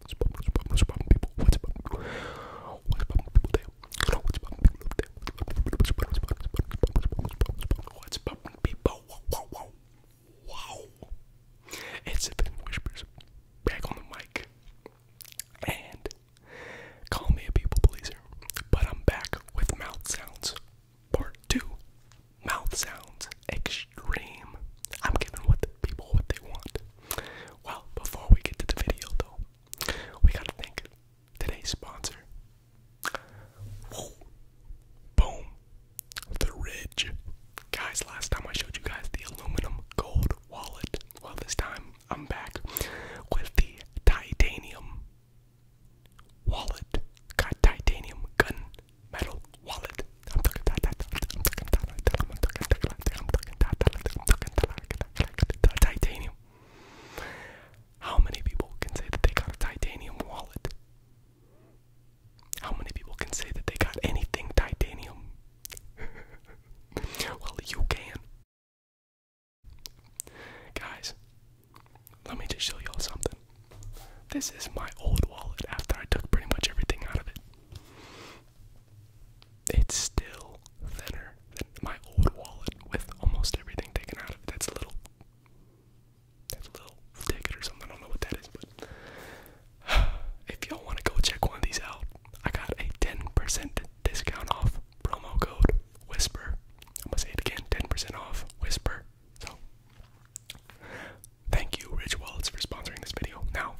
What's poppin', what's poppin', what's poppin', people? What's poppin'? people? What's poppin', people? What's poppin', people? It's Sippin' Whispers back on the mic. And call me a people pleaser, but I'm back with mouth sounds part two. Mouth sounds extreme. I'm giving what the people what they want. Well, before we get to the video though, we gotta thank today's sponsor. Boom. The Ridge. Guys, last time I showed you guys the aluminum gold wallet. Well, this time I'm back with the titanium wallet. Got titanium gun metal wallet. I'm talking, titanium. How many people can say that they got a titanium wallet? How many people can say that they got anything titanium? well, you can. Guys, let me just show y'all something. This is my old wallet after I took pretty much everything out of it. It's still thinner than my old wallet with almost everything taken out of it. That's a little, that's a little ticket or something. I don't know what that is, but if y'all want to go check one of these out, I got a 10% discount off promo code Whisper. I'm gonna say it again: 10% off Whisper. So, thank you, Rich Wallets, for sponsoring this video. Now,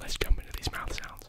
let's jump into these mouth sounds.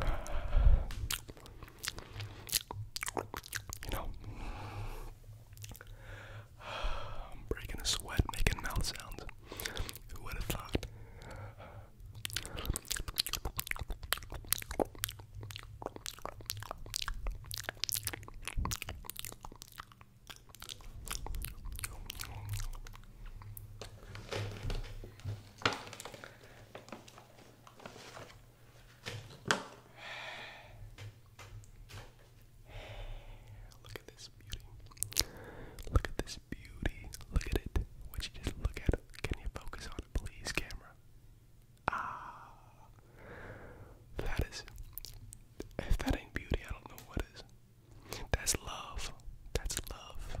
You know, I'm breaking a sweat, making mouth sounds. Who would have thought? Look at this beauty. Look at this beauty. Look at it. Would you just look at it? Can you focus on it, please, camera? Ah, that is. If that ain't beauty, I don't know what is. That's love. That's love.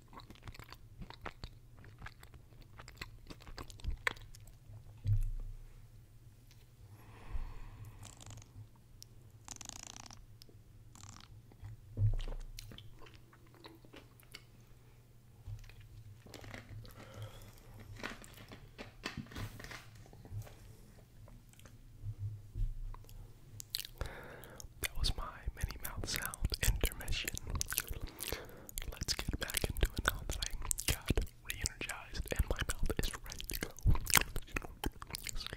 That was my mini mouth sound intermission let's get back into it now that I got re-energized and my mouth is ready to go. Let's go.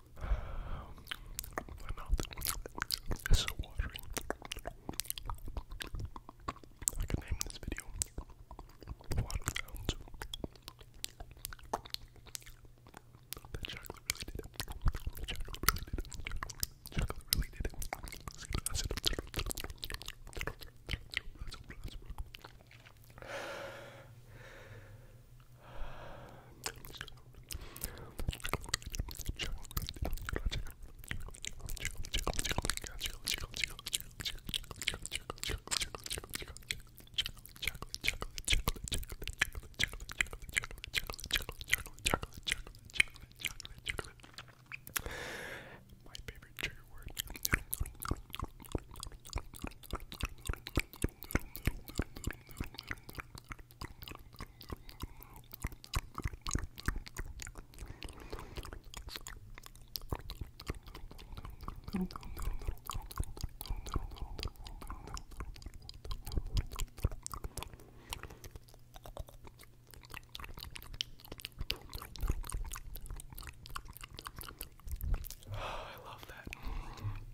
My mouth is so watery. I could name this video Water Sounds. That chocolate really did it. The chocolate really did it. The chocolate really did it. My favorite trigger word. Oh, I love that.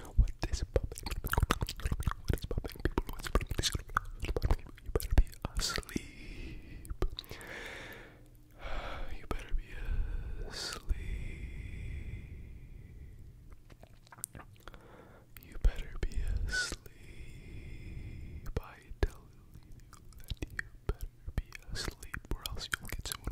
What is popping? What is popping, people? What's popping? You better be asleep. You better be asleep. You better be asleep. I tell you that you better be asleep, or else you'll get so I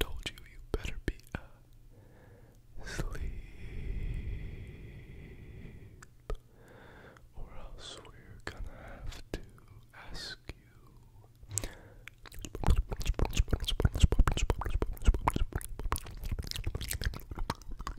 told you, you better be uh, or else we're gonna have to ask you.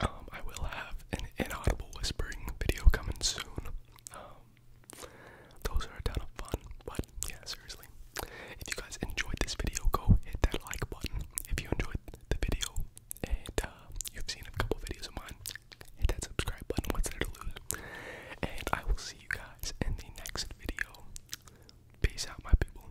Um, I will have an inaudible whispering video coming soon. Um, those are a ton of fun, but yeah, seriously. If you guys enjoyed this video, go hit that like button. If you enjoyed the video and uh, you've seen a couple videos of mine, hit that subscribe button. What's there to lose? And I will see you guys in the next video. Peace out, my people.